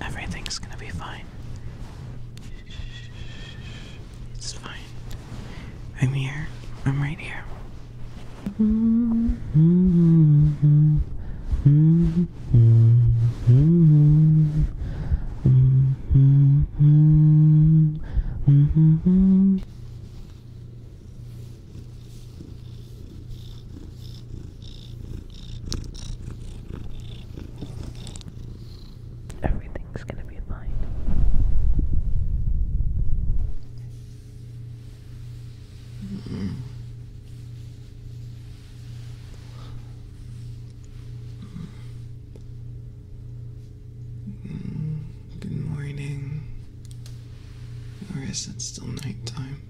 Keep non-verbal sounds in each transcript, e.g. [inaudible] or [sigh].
Everything's gonna be fine. It's fine. I'm here. I'm right here. [laughs] Everything's gonna be fine. Good morning. Or is it still nighttime?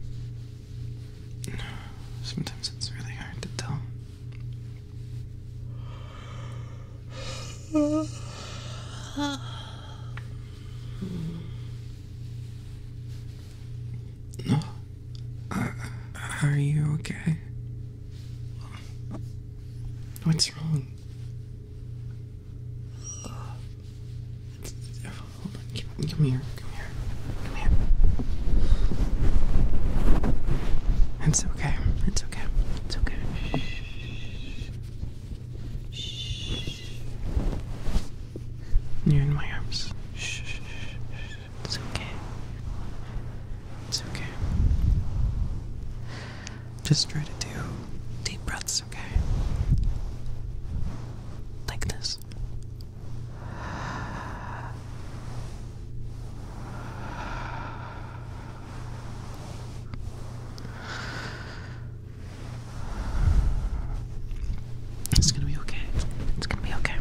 Sometimes it's really hard to tell. No. Uh, are you okay? What's wrong? Come, here. Come here. Come here. It's okay. It's okay. It's okay. Shh. You're in my arms. Shh. It's okay. It's okay. Just try to do deep breaths, okay? Like this. It's gonna be okay. It's gonna be okay.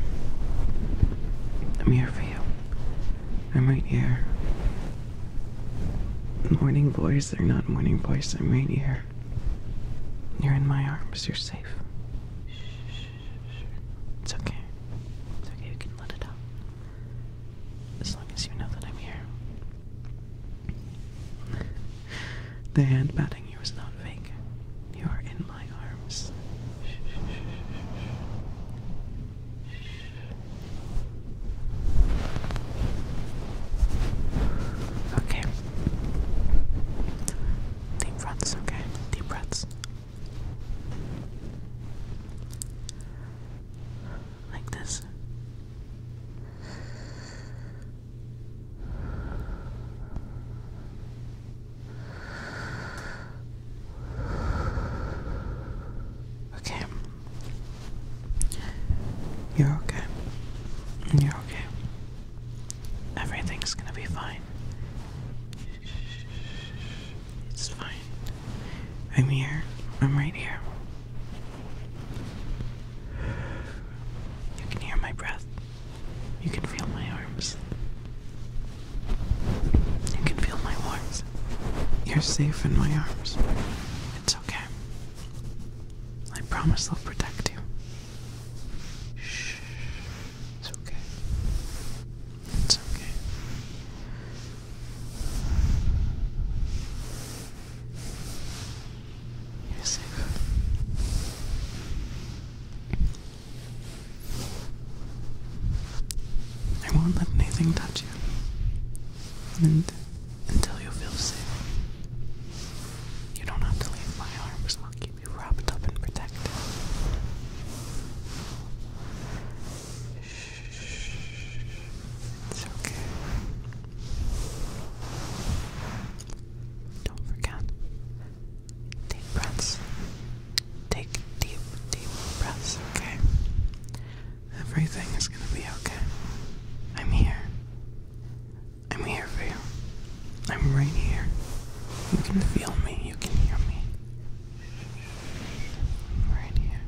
I'm here for you. I'm right here. Morning boys, they're not morning boys, I'm right here. You're in my arms. You're safe. It's okay. It's okay. You can let it out. As long as you know that I'm here. the hand patting you is not fake. You are in my arms. Okay. Deep breaths, okay? Deep breaths. Like this. Okay. You're okay. You're okay. Everything's gonna be fine. It's fine. I'm here. I'm right here. You can hear my breath. You can feel my arms. You can feel my warmth. You're safe in my arms. It's okay. I promise I'll protect you. Shh. It's okay. It's okay. You're safe. I won't let anything touch you. until you feel safe. You don't have to leave my arms, I'll keep you wrapped up and protected. Shh. It's okay. Don't forget. Take breaths. Take deep, deep breaths, okay? Everything is gonna be okay. I'm here. I'm here for you. I'm right here. You can feel me. You can hear me. right here.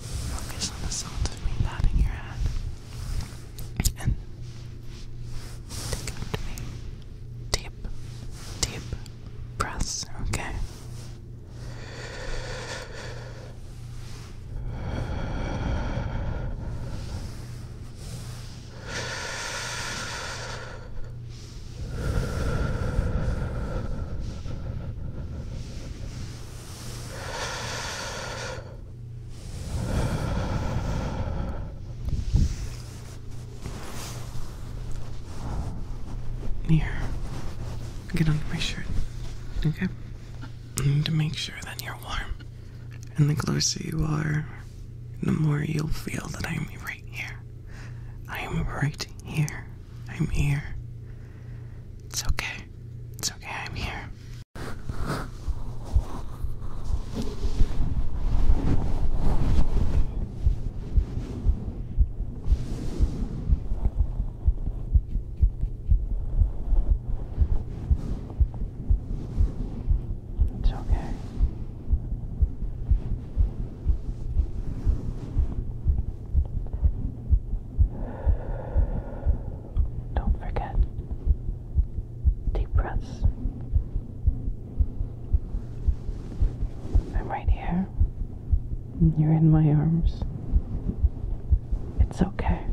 Focus on the sound of me nodding your head. And take after me. Deep, deep breaths, okay? Here, get under my shirt, okay? And to make sure that you're warm. And the closer you are, the more you'll feel that I'm right here. I am right here. I'm here. It's okay. It's okay, I'm here. It's okay. Don't forget deep breaths. I'm right here. You're in my arms. It's okay.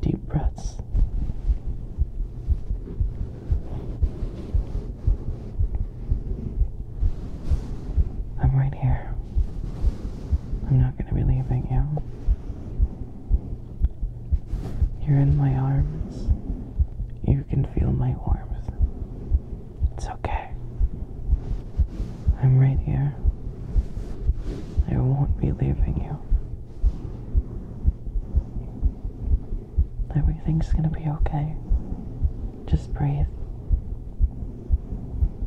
Deep breaths. I'm right here. I'm not going to be leaving you. You're in my arms. You can feel my warmth. It's okay. I'm right here. I won't be leaving you. Everything's gonna be okay. Just breathe.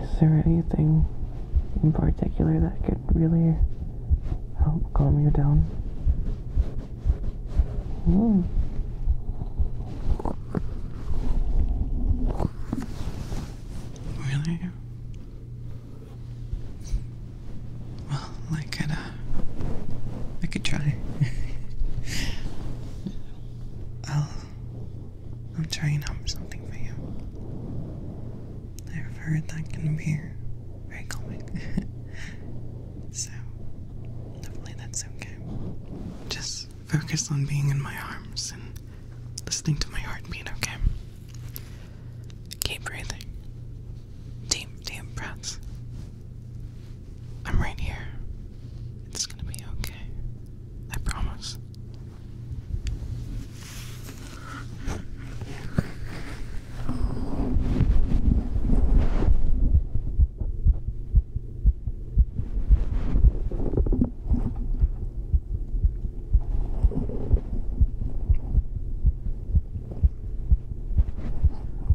Is there anything in particular that could really help calm you down? Hmm. Really? Well, like an. I could try. I'll I'll try and something for you. I've heard that can be very calming. [laughs] so hopefully that's okay. Just focus on being in my arms and listening to my heartbeat, okay? Keep breathing. Deep, deep breaths. I'm right here. It's gonna be okay. I promise.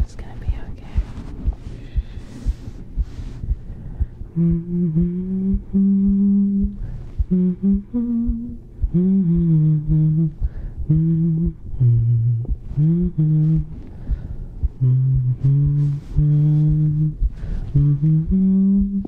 It's gonna be okay. Mm -hmm. Mm -hmm. Mm -hmm. Mm -hmm. Mm -hmm. Mm -hmm. Mm -hmm.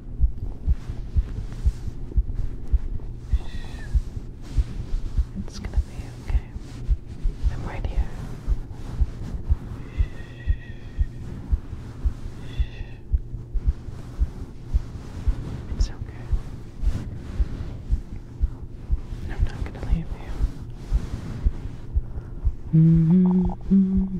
It's gonna be okay. I'm right here. It's okay. I'm not gonna leave you. -hmm.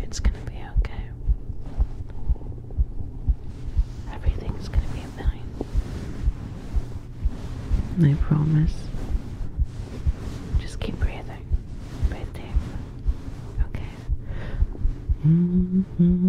It's going to be okay. Everything's going to be fine. I promise. Just keep breathing like breathing. Okay. Mm-hmm.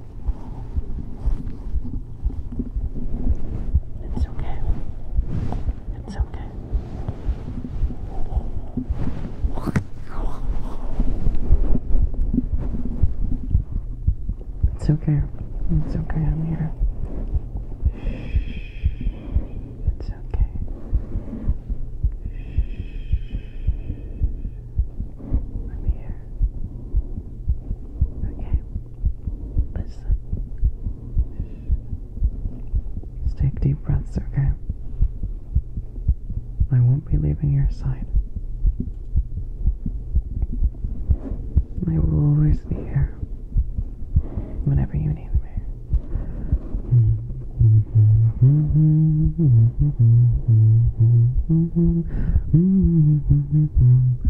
It's okay. It's okay. It's okay. It's okay. I'm here. It's okay. okay. I'm here. Okay. Listen. Just take deep breaths, okay? I won't be leaving your side. I will always be here. Whenever you need me. [laughs]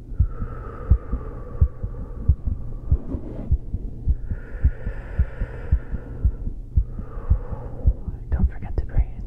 Don't forget to breathe.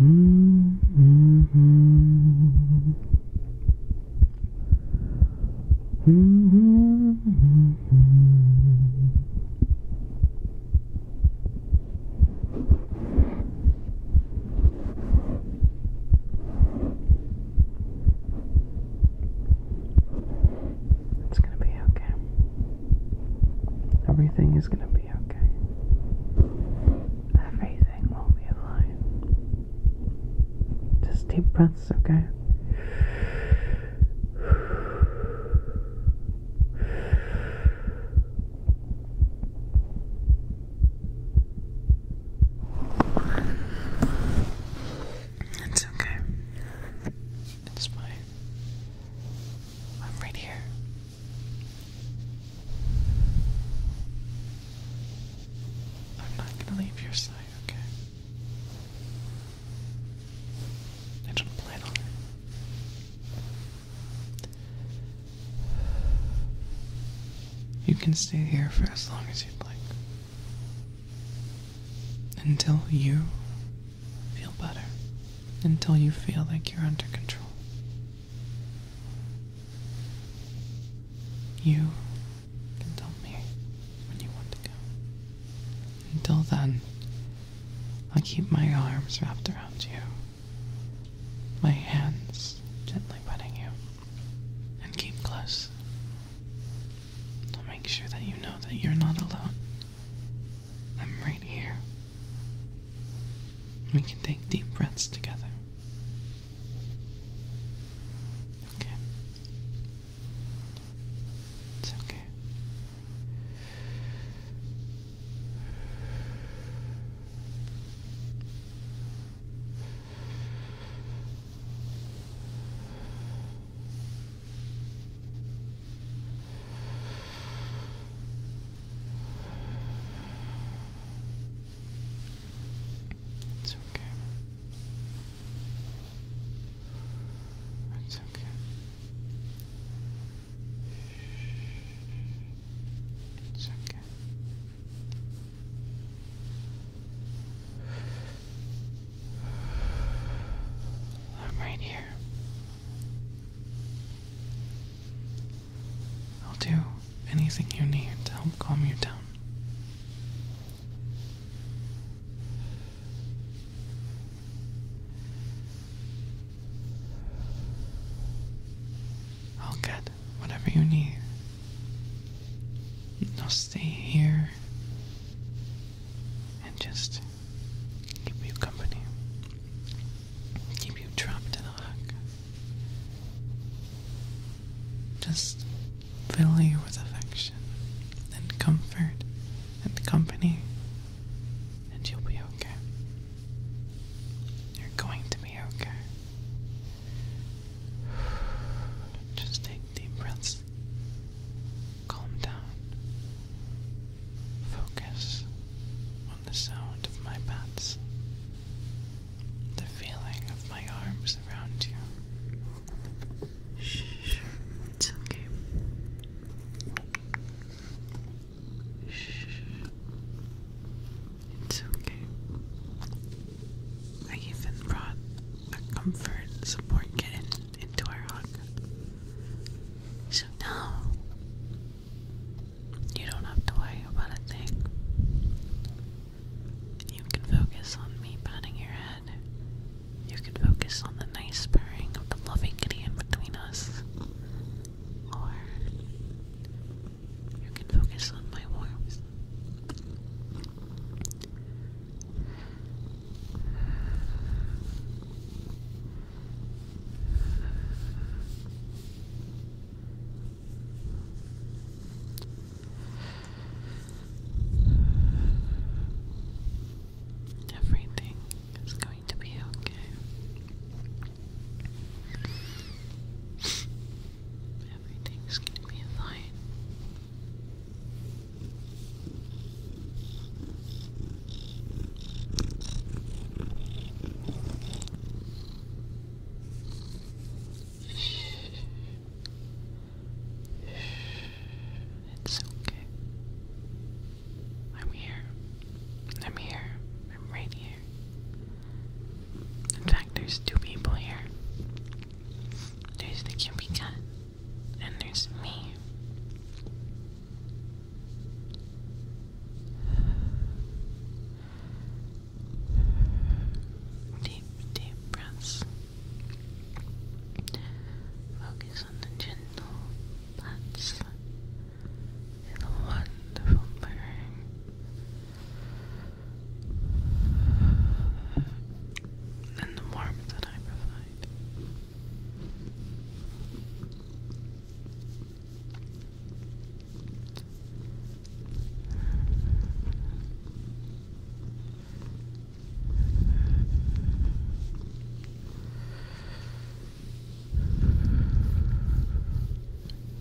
Mm -hmm. Mm -hmm. It's going to be okay. Everything is going to be okay everything will be fine. Just deep breaths, okay? It's okay. It's fine. I'm right here. I'm not gonna leave your side, okay? I don't plan on it. You can stay here for as long as you'd like. Until you feel better. Until you feel like you're under control. You can tell me when you want to go. Until then, I'll keep my arms wrapped around you, my hands gently wetting you, and keep close. to make sure that you know that you're not alone. I'm right here we can take deep breaths together. Okay. It's okay. It's okay. It's okay. It's okay. I'm right here. I'll do anything you need to help calm you down. I'll get whatever you need. I'll stay here and just keep you company keep you trapped in a hook. Just fill you with affection and comfort and company, and you'll be okay. You're going to be okay. Just take deep breaths. Calm down. Focus the sound of my pats, the feeling of my arms around you. Shh, it's okay. Shh, it's okay. I even brought a comfort support kitten into our hug. So now you don't have to worry about a thing. You can focus on me patting your head. You can focus on the nice pairing of the loving in between us. Or you can focus on my warmth. Everything is going to be okay. Everything's going to be fine. It's okay. I'm here. I'm here. I'm right here. In fact, there's two people here. There's the cubby cat, and there's me. Deep, deep breaths. Focus on the gentle pats the wonderful purring. And the warmth that I provide.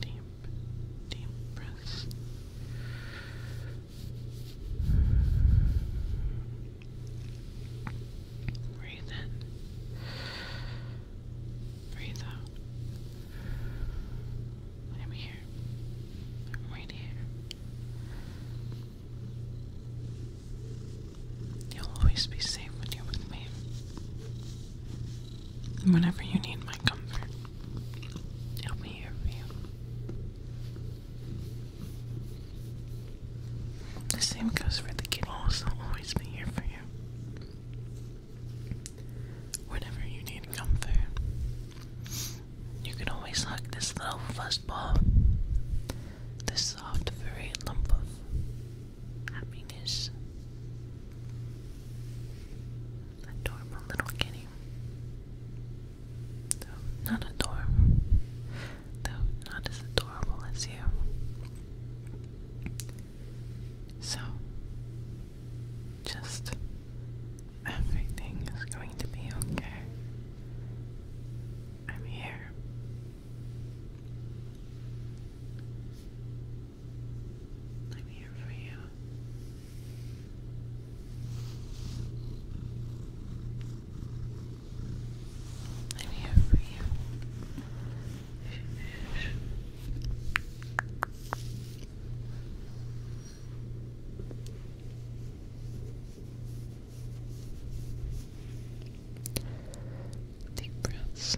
Deep, deep breaths. Breathe in. Breathe out. I'm here. I'm right here. You'll always be safe when you with me. whenever you need my comfort, I'll be here for you. The same goes for the kiddos, they'll always be here for you. Whenever you need comfort, you can always hug this little fuzzball, this soft, furry lump of happiness. Adorable little kitty. not adorable though not as adorable as you. So, just everything is going to be okay. I'm here. I'm here for you. I'm here for you. Deep breaths.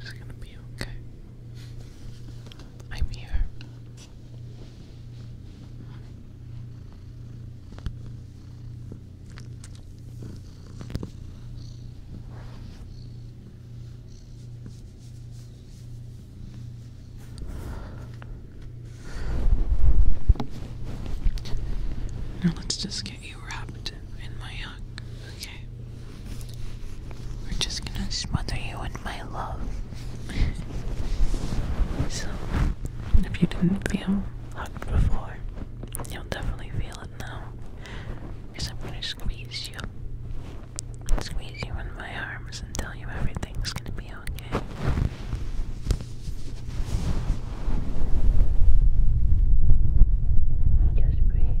It's gonna be okay. I'm here. Now let's just get you you wrapped in my hug, okay? We're just gonna smother you in my love. [laughs] so, if you didn't feel hugged before, you'll definitely feel it now. Because I'm gonna squeeze you. Squeeze you in my arms and tell you everything's gonna be okay. Just breathe.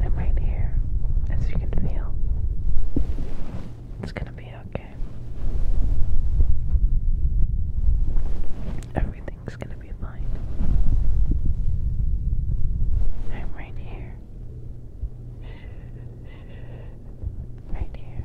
I'm right here, as you can feel. It's gonna be okay. Everything it's gonna be fine. I'm right here. Right here.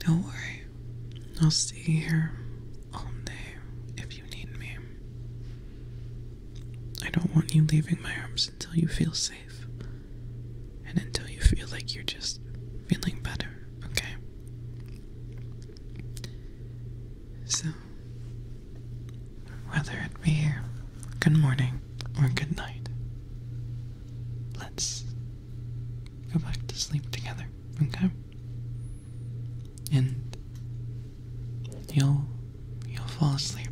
Don't worry, I'll stay here all day if you need me. I don't want you leaving my arms until you feel safe and until you feel like you're just feeling better, okay? So, whether it be here, good morning or good night, let's go back to sleep together, okay? And you'll you'll fall asleep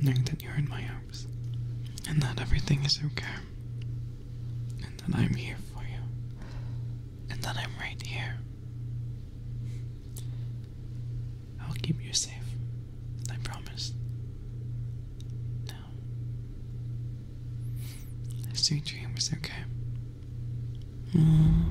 knowing that you're in my arms and that everything is okay and that I'm here for you and that I'm right here I'll keep you safe. I promise. Now, sweet dream okay. Mm.